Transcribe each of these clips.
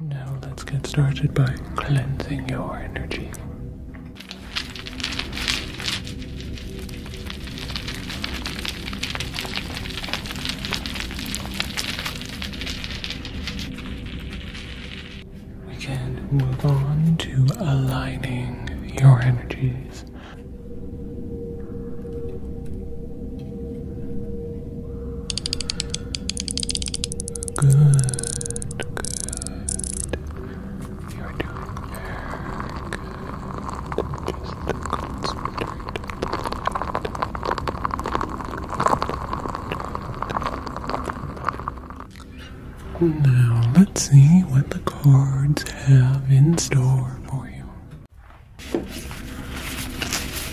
Now let's get started by cleansing your energy. We can move on to aligning your energies. Good, good. good. now let's see what the cards have in store for you.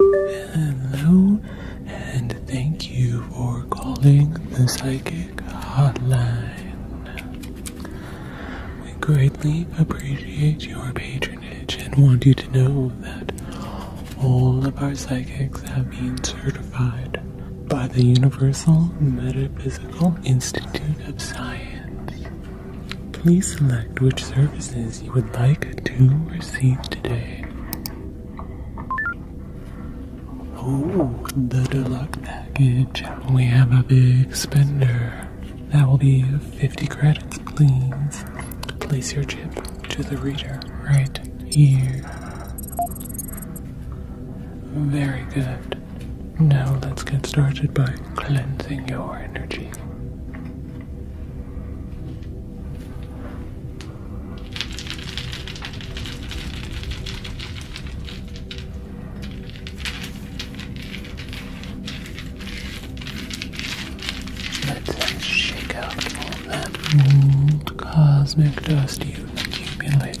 Hello, and thank you for calling the Psychic Hotline. We greatly appreciate your patronage and want you to know that all of our psychics have been certified by the Universal Metaphysical Institute of Science. Please select which services you would like to receive today. Oh, the deluxe package. We have a big spender. That will be 50 credits, please. Place your chip to the reader right here. Very good. Now let's get started by cleansing your energy. Let's shake out all that old cosmic dust you've accumulated.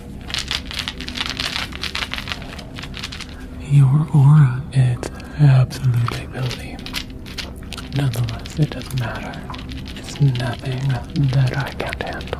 Your aura is absolutely filthy. Nonetheless, it doesn't matter. It's nothing that I can't handle.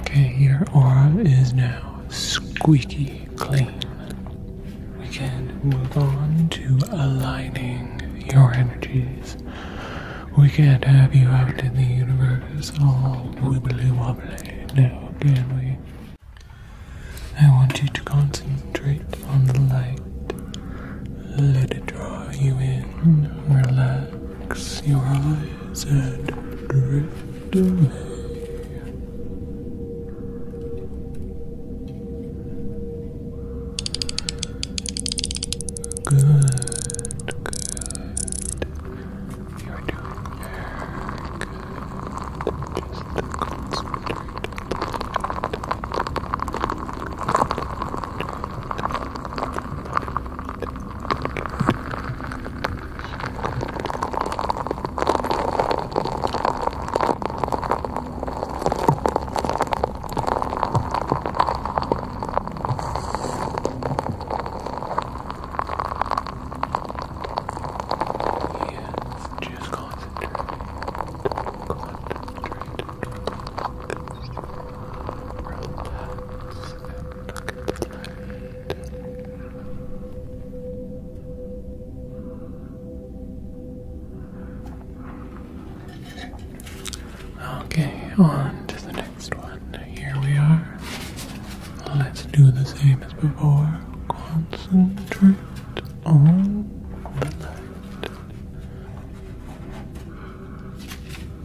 Okay, your aura is now squeaky clean. We can move on to aligning your energies. We can't have you out in the universe all wibbly wobbly now, can we? I want you to concentrate on the light let it draw you in. Relax your eyes and drift away. Good, good. You're doing very Yes, just concentrate. Concentrate. Okay, on to the next one. Here we are. Let's do the same as before. Concentrate on the light mountain. You're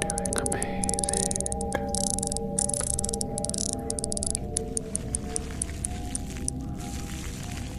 doing amazing.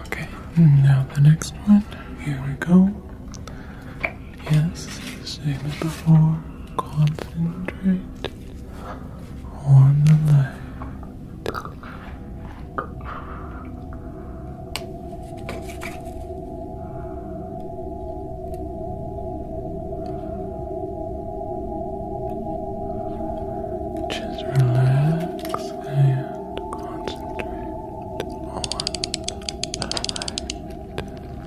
Okay, now the next one. Here we go. Yes, same as before. Concentrate on the light. Just relax and concentrate on the light.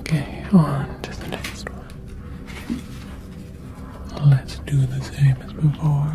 Okay, on to the next one. Let's do the same as before.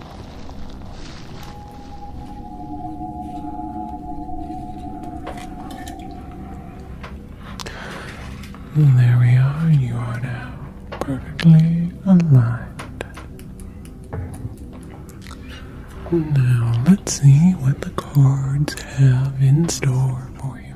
There we are, you are now perfectly aligned. Now let's see what the cards have in store for you.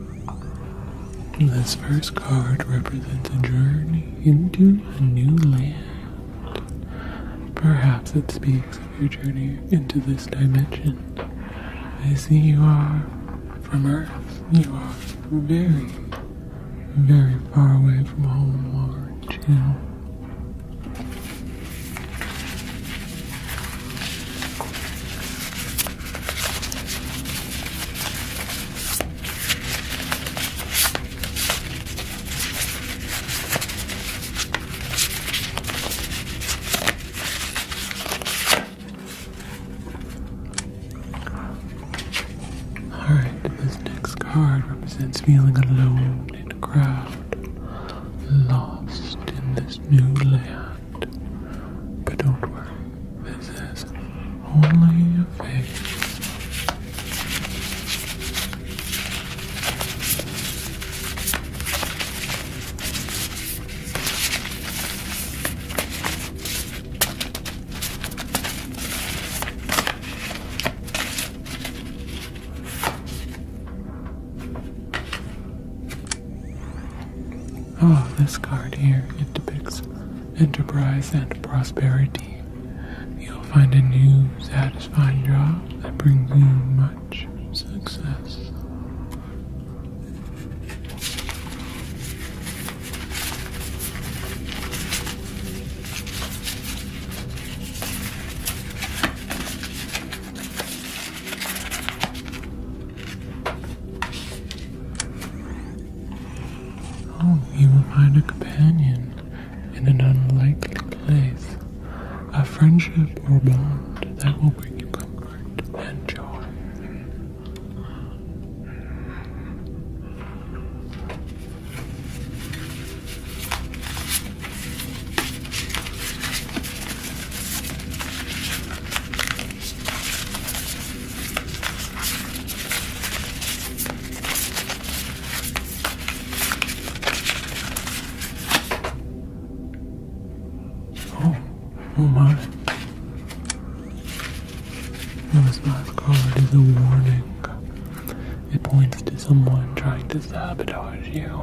This first card represents a journey into a new land. Perhaps it speaks of your journey into this dimension. I see you are from Earth. You are very, very far away from home, Lord. You Alright, this next card represents feeling alone in a crowd, lost in this new land. But don't worry, this is only a fake. Oh, this card here, it depicts enterprise and prosperity. You'll find a new, satisfying job that brings you much success. Home oh, he will find a companion in an unlikely place, a friendship or bond that will bring you comfort and joy. Oh, oh my. No, oh, this last card is a warning. It points to someone trying to sabotage you.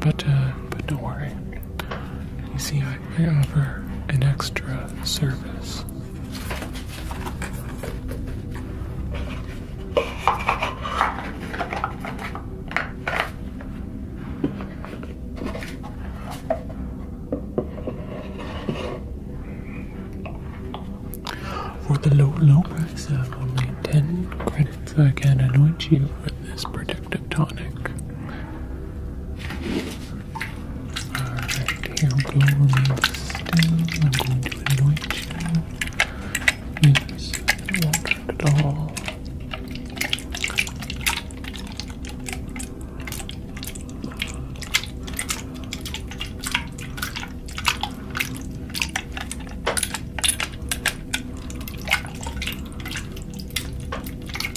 But, uh, but don't worry. You see, I, offer an extra service. For the low, low price of only 10 credits, I can anoint you with this particular active tonic. Alright, here I'm going to anoint you. at all.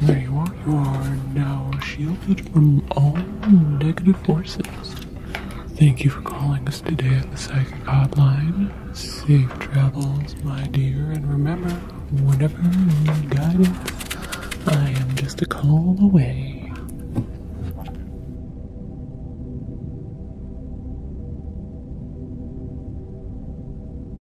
There you are. You are now shielded from all negative forces. Thank you for calling us today at the Psychic Hotline. Safe travels, my dear, and remember, whenever you need guidance, I am just a call away.